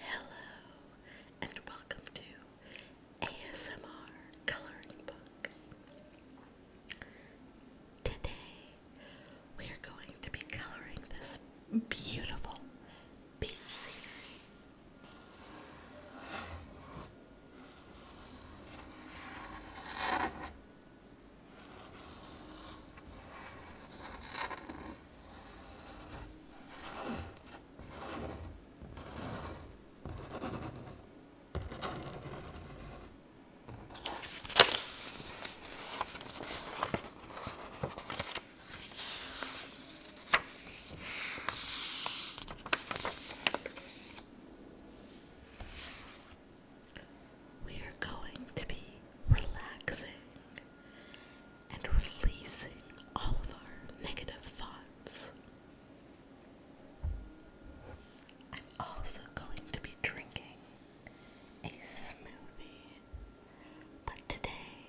Hello, and welcome to ASMR Coloring Book. Today, we are going to be coloring this beautiful peach scenery. We are going to be relaxing and releasing all of our negative thoughts. I'm also going to be drinking a smoothie, but today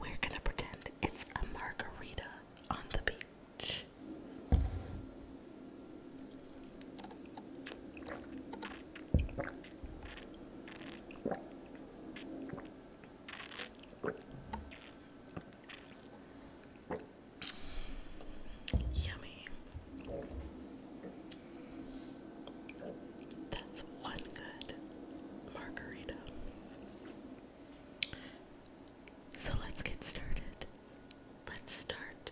we're going to pretend it's a margarita on the beach. Yummy. That's one good margarita. So let's get started. Let's start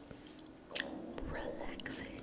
relaxing.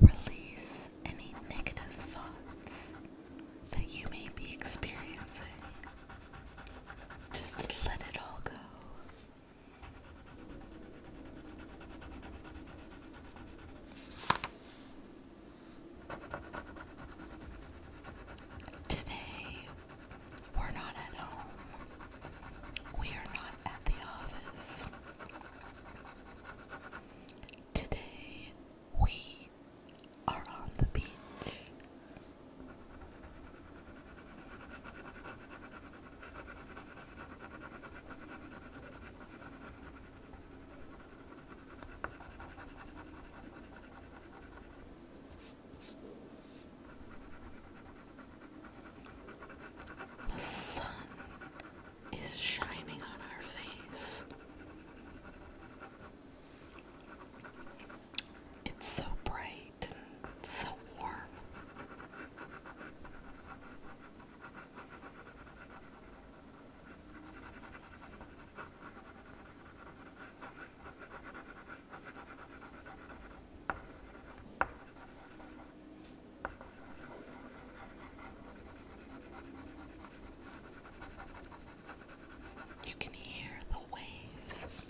Release any negative thoughts that you may be experiencing. Just let it all go. Today, we're not at home. We are not at the office. Today we are on the beach. The sun is shining on our face. It's so bright so warm. You can hear the waves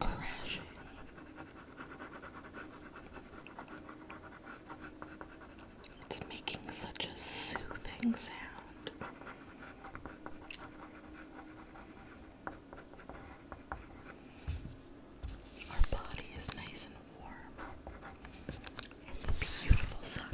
crashing. It's making such a soothing sound. Our body is nice and warm in the beautiful sun.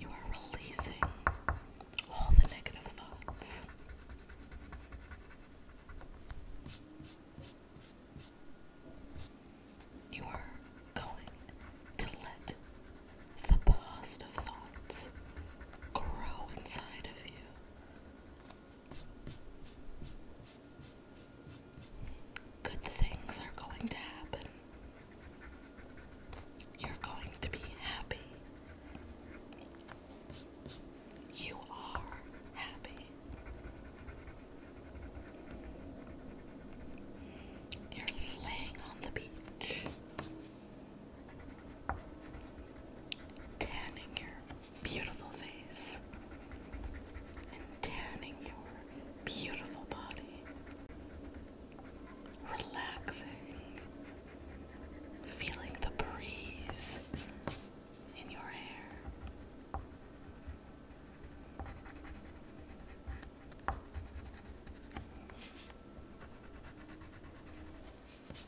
You are releasing all the negative thoughts. You are going to let the positive thoughts grow inside of you. Good things are going to happen. You're going to be happy. You are happy. You're laying on the beach tanning your beautiful face and tanning your beautiful body, relaxing, feeling the breeze in your hair.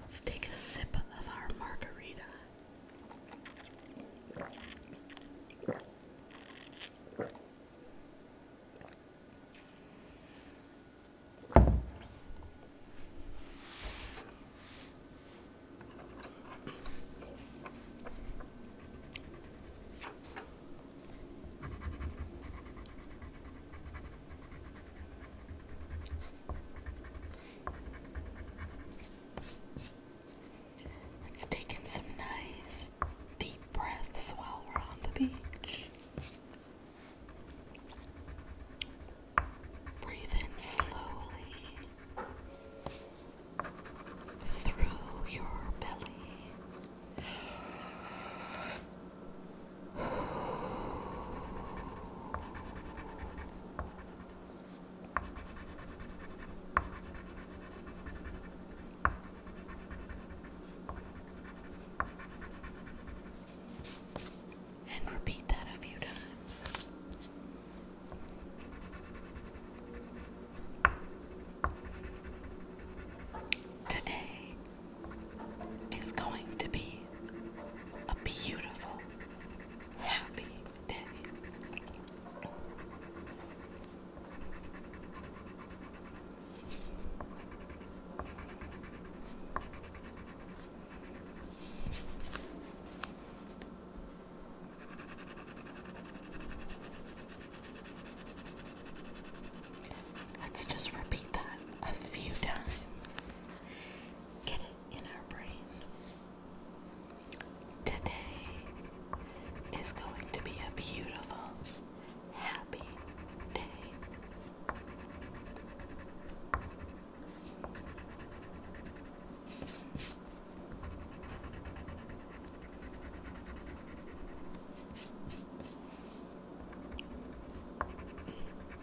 Let's take a sip of our margarita. Let's take some nice deep breaths while we're on the beach. Breathe in slowly through your belly. And repeat that a few times. Today is going to be a beautiful, happy day. Let's just repeat that a few times get Today is going to be a beautiful, happy day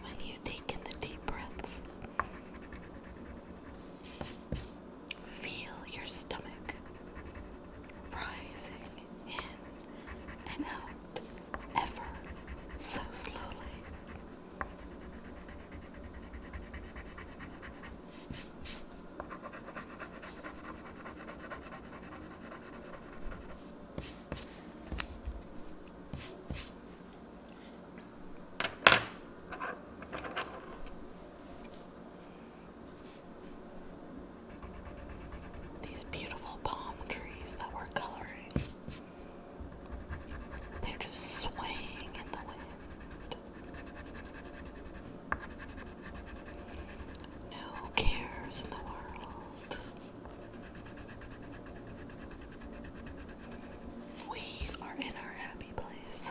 when you take in the deep breaths. Feel your stomach rising in and out ever so slowly. These beautiful palm trees that we're coloring. They're just swaying in the wind. No cares in the world. We are in our happy place.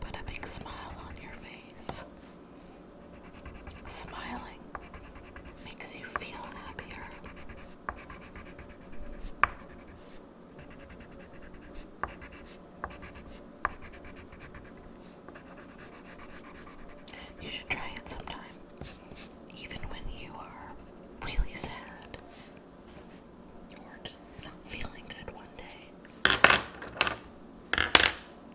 Put a big smile on your face. Smiling makes you feel happier. You should try it sometime, even when you are really sad or just not feeling good one day.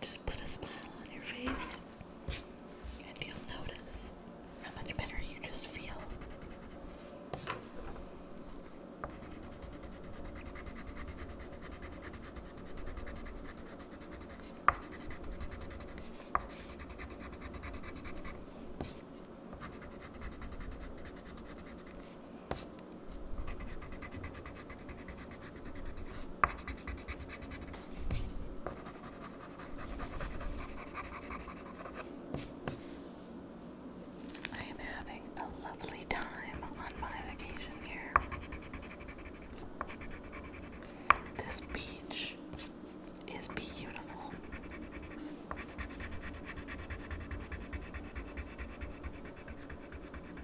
Just put a smile on your face and you'll notice how much better you just feel. I am having a lovely time on my vacation here. This beach is beautiful.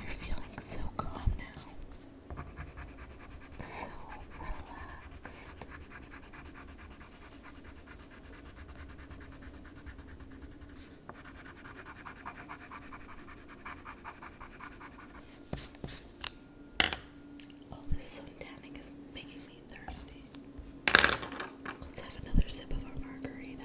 You're feeling so calm now, so relaxed. All this sun tanning is making me thirsty. Let's have another sip of our margarita.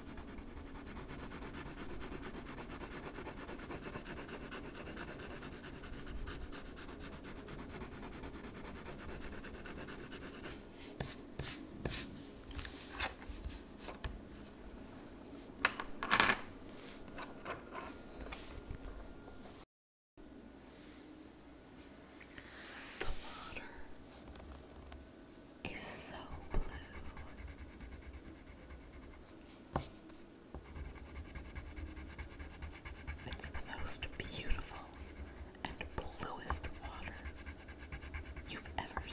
The water is so blue. It's the most beautiful and bluest water you've ever seen.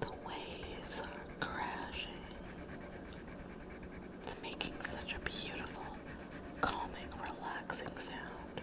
The waves are crashing. It's making such a beautiful, calming, relaxing sound.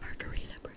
Margarita break.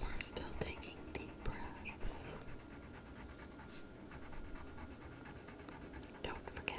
We're still taking deep breaths. Don't forget.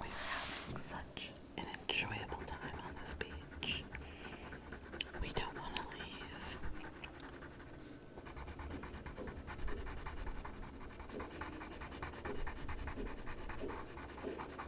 We are having such an enjoyable time on this beach. We don't want to leave.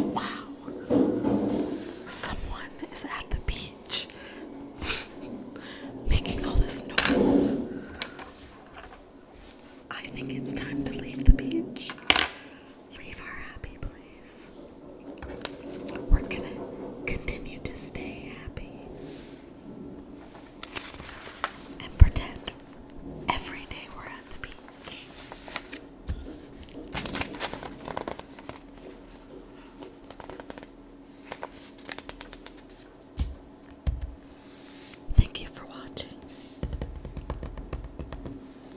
Wow, someone is at the beach making all this noise. I think it's time to leave the beach leave her happy, please. We're gonna continue to stay happy and pretend every day we're at the beach. Thank you for watching.